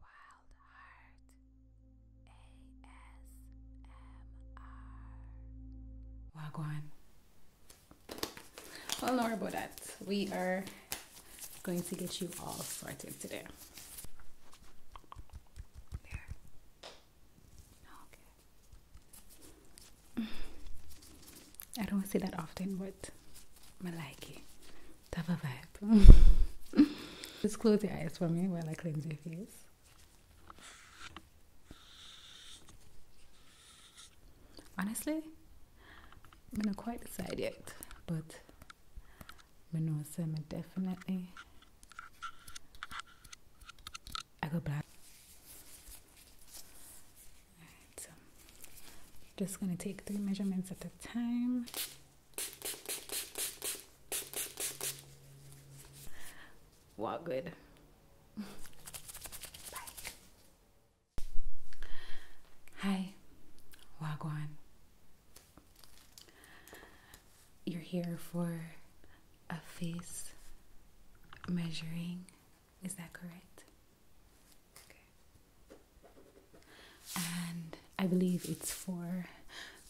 Wild Heart ASMR. Well, Laura, about that. We are going to get you all sorted today. There. Okay. I don't say that often, but I like it. Just close your eyes for me while I cleanse your face. Honestly, I'm not quite decided, yet, but we know I'm definitely. I go black. just gonna take three measurements at a time. Wow, good. Hi, Wagwan. You're here for a face measuring, is that correct? And I believe it's for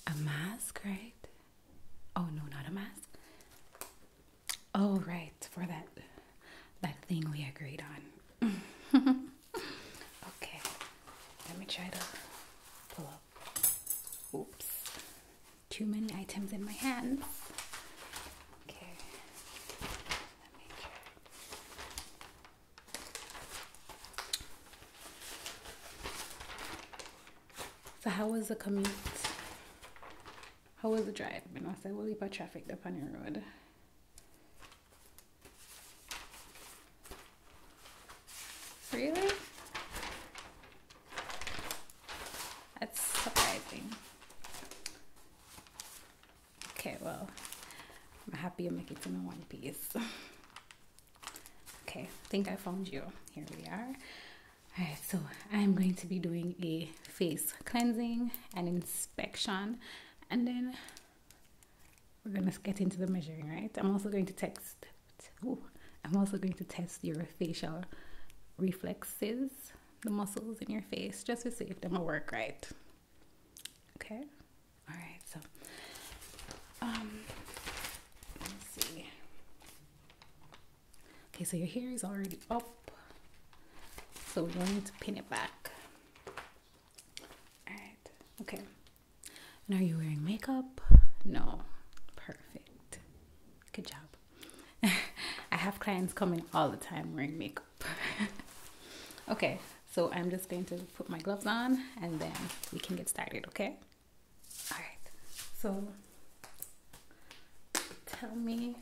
a mask, right? Oh no, not a mask. Oh right, for that that thing we agreed on. okay. Let me try to pull up. Oops. Too many items in my hand. Okay. Let me try. So how was the commute? How was the drive? I mean, I said, well, about traffic up on the road. Really? That's surprising. Okay, well, I'm happy I am making it in one piece. okay, I think I found you. Here we are. Alright, so I'm going to be doing a face cleansing and inspection, and then we're gonna get into the measuring, right? I'm also going to text. I'm also going to test your facial reflexes, the muscles in your face, just to see if them will work right. Okay. All right. So, um, let me see. Okay, so your hair is already up, so we don't need to pin it back. All right. Okay. And are you wearing makeup? No. Perfect. Good job. I have clients coming all the time wearing makeup. okay, so I'm just going to put my gloves on and then we can get started, okay? All right, so tell me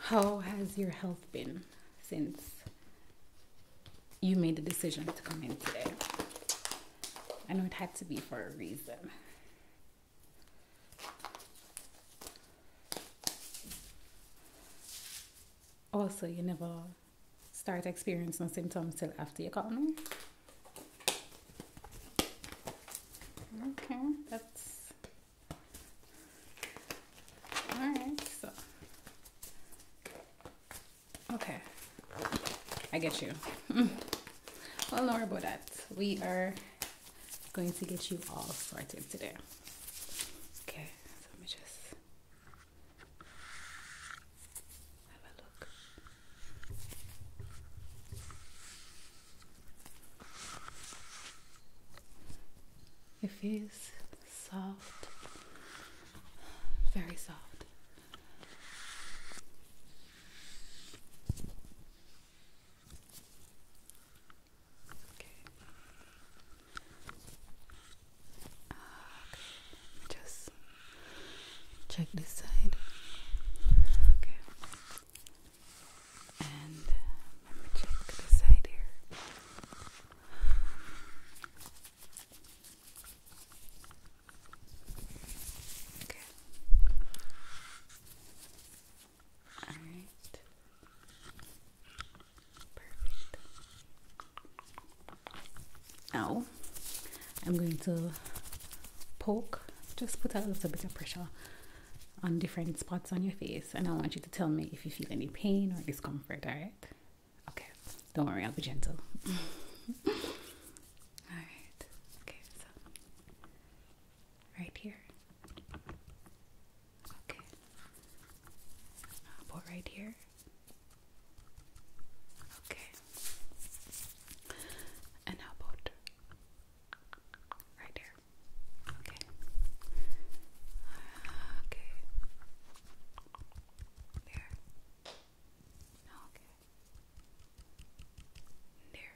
how has your health been since you made the decision to come in today? I know it had to be for a reason. Also, you never start experiencing symptoms till after you got them. Okay, that's alright. So, okay, I get you. well, no about that. We are going to get you all started today. Okay, let me just have a look. It feels soft, very soft. Okay. Just check this side. Okay. And let me check this side here. Okay. All right. Perfect. Now, I'm going to poke, just put a little bit of pressure on different spots on your face, and I want you to tell me if you feel any pain or discomfort. All right. Okay. Don't worry. I'll be gentle. all right. Okay. So Right here? Okay. about right here? Okay. And how about right here? Okay. okay. There. Okay. There.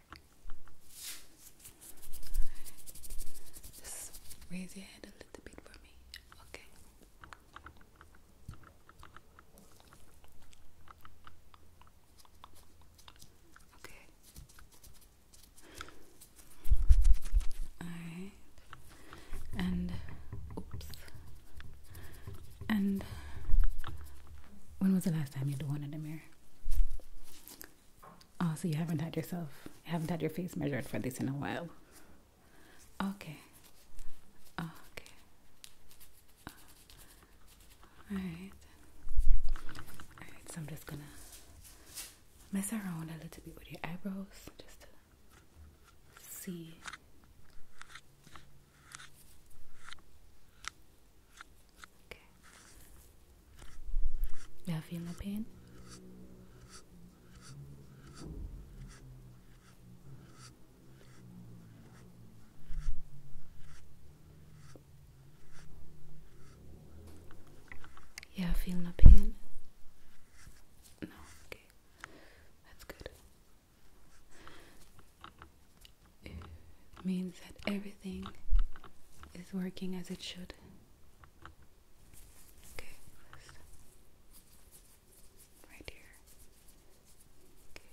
Just raise your head a little bit for me. Okay. Okay. Alright. And oops. And when was the last time you had one in the mirror? Oh, so you haven't had yourself, haven't had your face measured for this in a while. Okay. Okay. All right. All right. So I'm just gonna mess around a little bit with your eyebrows just to see. Yeah, Now feel the pain? Yeah, feel no pain. No, okay. That's good it means that everything is working as it should. Okay, Right here. Okay.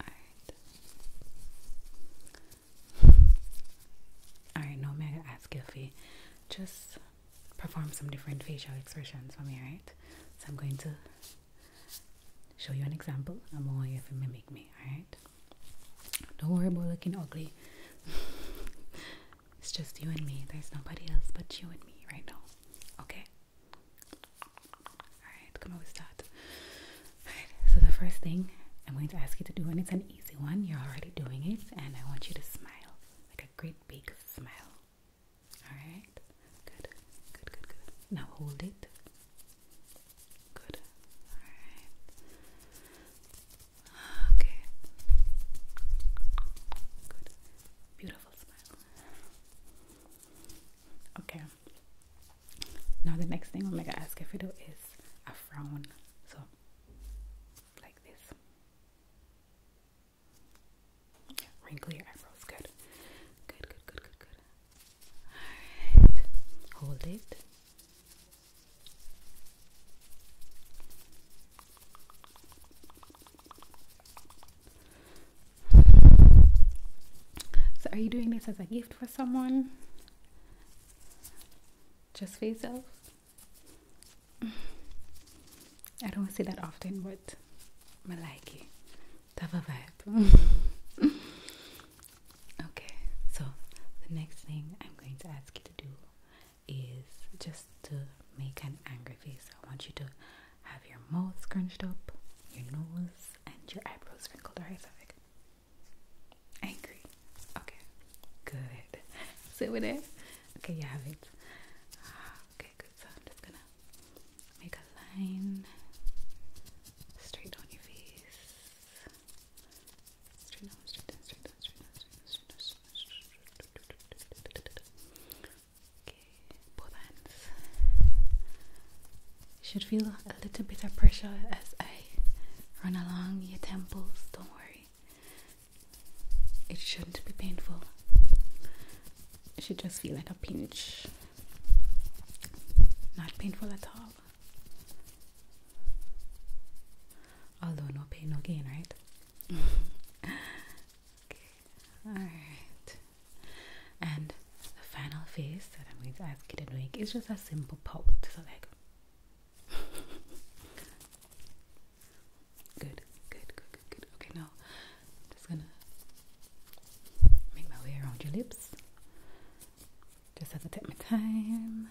Alright. Alright, no mega ask Gilfy. Just perform some different facial expressions for me, right? So I'm going to show you an example. I'm going to mimic me, alright? Don't worry about looking ugly. it's just you and me. There's nobody else but you and me right now. Okay? Alright, come on, we start. Alright, so the first thing I'm going to ask you to do, and it's an easy one, you're already doing it, and I want you to smile like a great big smile. Alright, good, good, good, good. Now hold it. Good, alright. Okay. Good, beautiful smile. Okay. Now the next thing I'm gonna ask if you do is a frown. So like this. Wrinkle your eyebrows. Good. Good, good, good, good, good. Alright. Hold it. So, are you doing this as a gift for someone? Just for yourself? I don't say that often, but I like it. Type of vibe. okay, so the next thing I'm going to ask you to do is just to make an angry face. I want you to have your mouth scrunched up, your nose, and your eyebrows wrinkled. Alright, so like angry. Okay, good. Sit with it. Okay, you have it. Okay, good. So I'm just gonna make a line straight on your face. Okay, both hands. You should feel a little bit of pressure as I run along your temples, don't worry. It shouldn't be painful. It should just feel like a pinch. Not painful at all. Although no pain, no gain, right? okay. Alright. And the final face that I'm going to ask you to make is just a simple pot, So like good, good, good, good, good. Okay, now I'm just gonna make my way around your lips. Just have to take my time.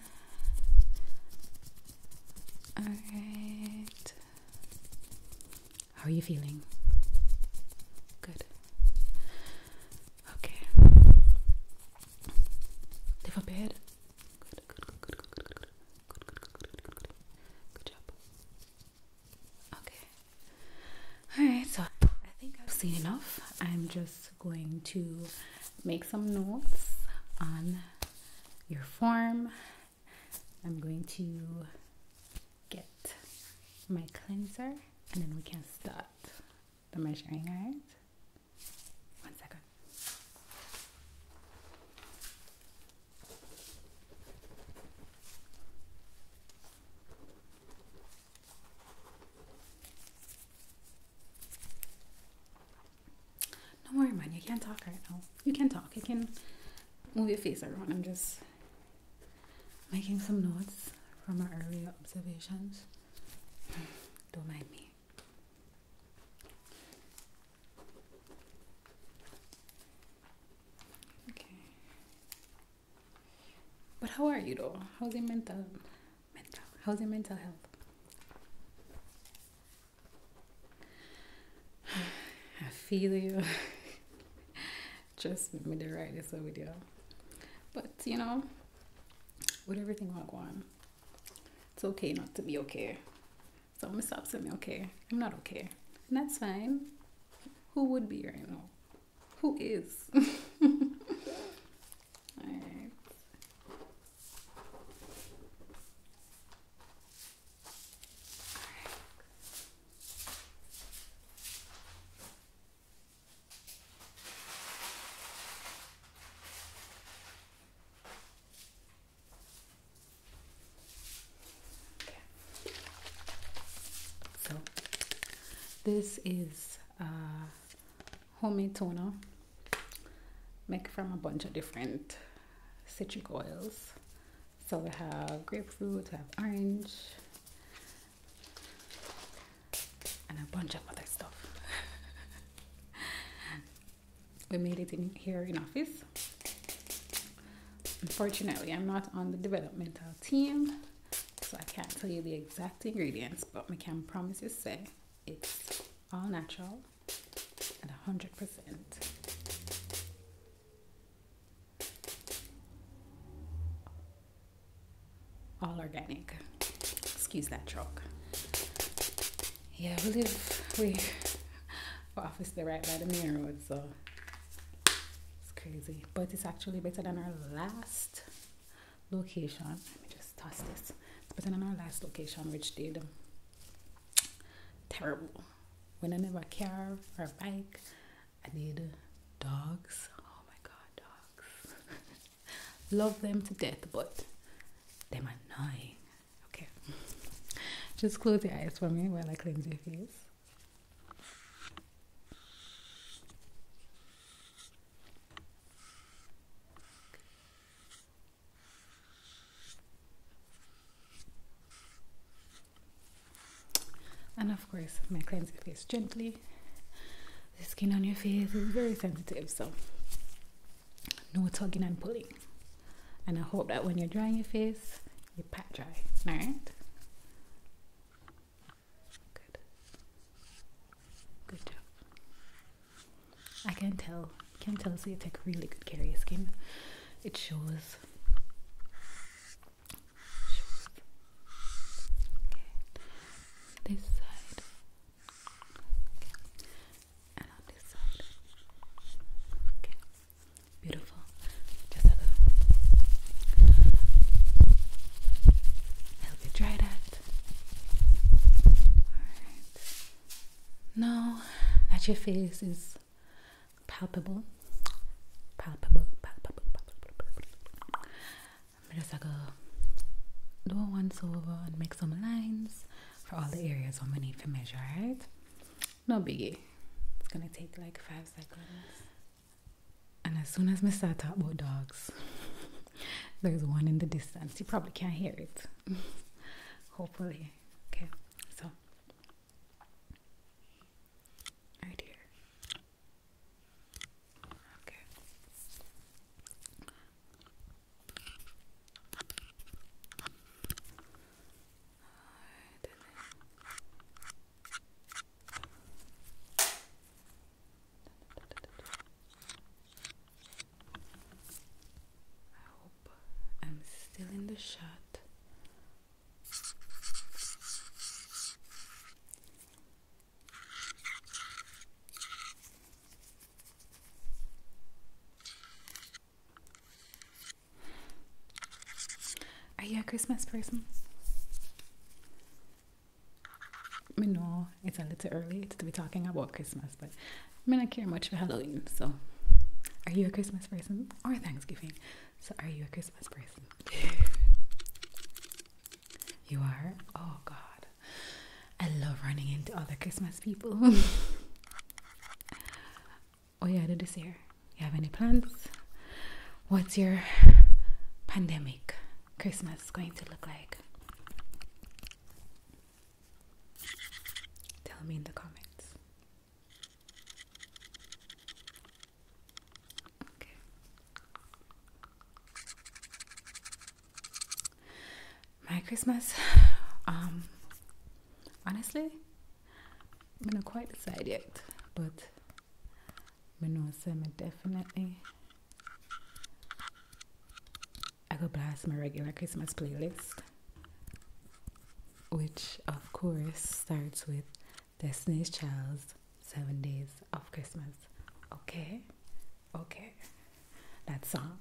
Alright. How are you feeling? Good. Okay. Lift up your head. Good, good, good, good, good, good, good. Good, good, good, good, good, good. Good job. Okay. Alright, so I think I've seen enough. I'm just going to make some notes on your form. I'm going to get my cleanser and then we can start the measuring, Right. One second. Don't worry, man. You can't talk right now. You can talk. You can move your face around. I'm just making some notes from our earlier observations. Don't mind me. But how are you though? How's your mental mental how's your mental health? I feel you. Just me, to write this so with you. But you know, with everything going on, it's okay not to be okay. So I'm gonna stop saying okay. I'm not okay. And that's fine. Who would be right now? Who is? Alright. So this is a homemade toner made from a bunch of different citric oils. So we have grapefruit, we have orange, and a bunch of other stuff. we made it in here in office unfortunately i'm not on the developmental team so i can't tell you the exact ingredients but i can promise say it's all natural and 100% all organic. Excuse that chalk. Yeah, we live we our office they right by the main road, so it's crazy. But it's actually better than our last location. Let me just toss this. It's better than our last location, which did terrible. When I never car or bike, I did dogs. Oh my god, dogs. Love them to death, but them annoying. Okay. Just close your eyes for me while I cleanse your face. And of course, i cleanse your face gently the skin on your face is very sensitive so no tugging and pulling and i hope that when you're drying your face you pat dry all right good good job i can tell can tell so you take really good care of your skin it shows Okay. This side, Beautiful. Just have a help you dry that. Alright. Now that your face is Palpable, palpable, palpable, palpable, palpable. I'm just like a do a once over and make some lines for all the areas I'm gonna need to measure, right? No biggie. It's gonna take like five seconds. And as soon as Mister. Talk about dogs, there's one in the distance. You probably can't hear it. Hopefully. Okay, so right here. Okay. Alright, and then I hope I'm still in the shot. Are you a Christmas person? I mean, no, it's a little early to be talking about Christmas, but I mean, I care much for Halloween, so. Are you a Christmas person or Thanksgiving? So, are you a Christmas person? you are? Oh, God. I love running into other Christmas people. oh yeah, I did this year. You have any plans? What's your pandemic Christmas going to look like? Tell me in the comments. My Christmas. Um honestly, I'm not quite decided, yet, but I know semi definitely I go blast my regular Christmas playlist. Which of course starts with Destiny's Child's seven days of Christmas. Okay, okay, that song.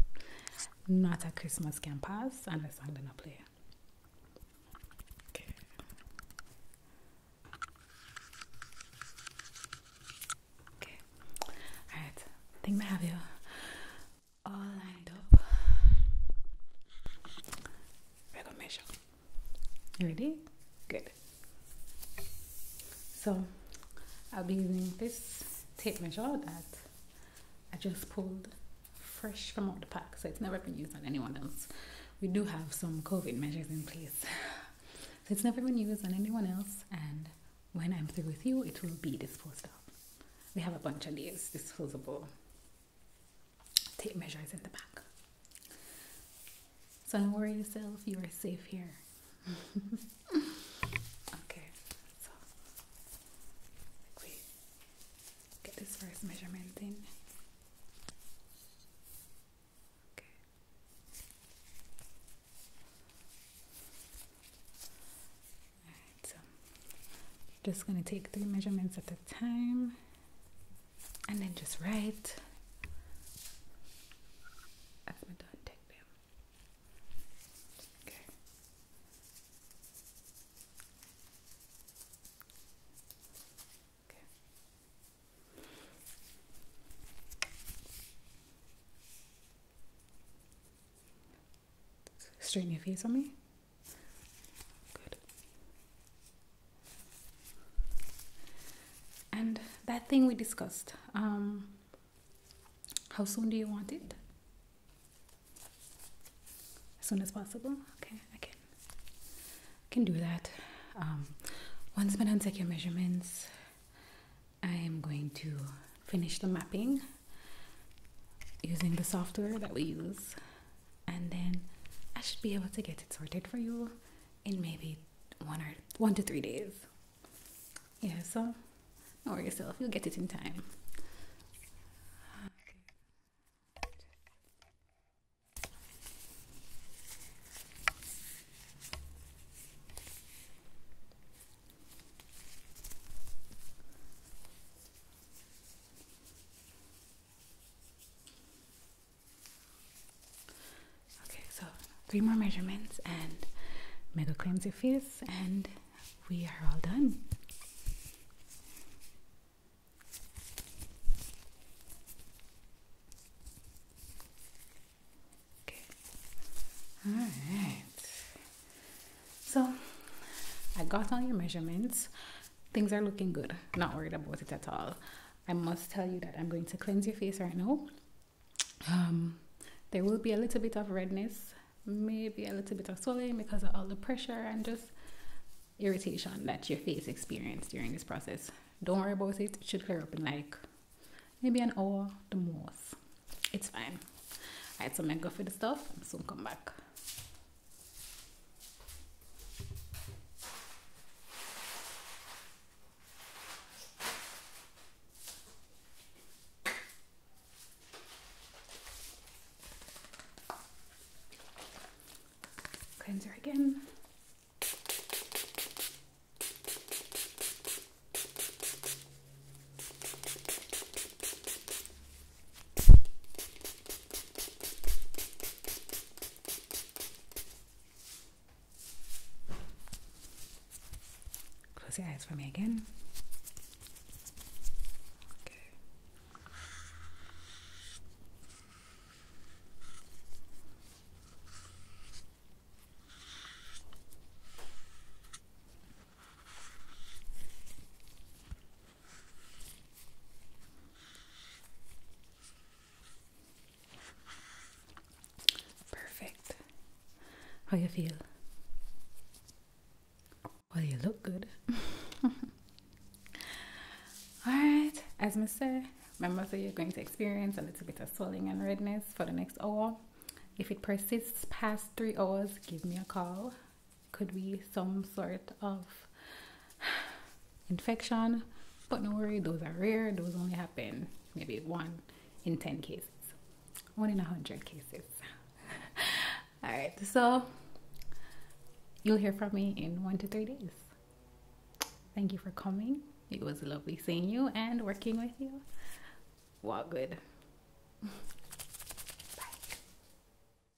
not a Christmas can pass, and the song didn't play. Okay. Okay. Alright, I think I have you all lined up. We're gonna measure. Ready? Good. So I'll be using this tape measure that I just pulled fresh from the pack, so it's never been used on anyone else. We do have some COVID measures in place, so it's never been used on anyone else. And when I'm through with you, it will be disposed of. We have a bunch of these disposable tape measures in the back. So don't worry yourself, you are safe here. okay, so we get this first measurement in. Okay. Alright, so just gonna take three measurements at a time and then just write Okay. Okay. Straighten your face on me. Good and that thing we discussed um, how soon do you want it as soon as possible okay i can can do that um, once madam take your measurements i am going to finish the mapping using the software that we use and then I should be able to get it sorted for you in maybe one or one to three days. Yeah, so don't worry yourself, you'll get it in time. Okay, so three more measurements and mega claims your face, and we are all done. Okay, all right. So I got all your measurements things are looking good. Not worried about it at all. I must tell you that I'm going to cleanse your face right now. Um, there will be a little bit of redness, maybe a little bit of swelling because of all the pressure and just irritation that your face experienced during this process. Don't worry about it. It should clear up in like maybe an hour the most. It's fine. Alright, so I'm gonna go for the stuff I'm soon come back. Cleanser again. Close your eyes for me again. Okay. Perfect. How you feel? Well, you look good. Alright, as I said, remember so you're going to experience a little bit of swelling and redness for the next hour. If it persists past three hours, give me a call could be some sort of infection. But no worry, those are rare. Those only happen maybe one in 10 cases, one in 100 cases. All right, so you'll hear from me in one to three days. Thank you for coming. It was lovely seeing you and working with you. Well, wow, good.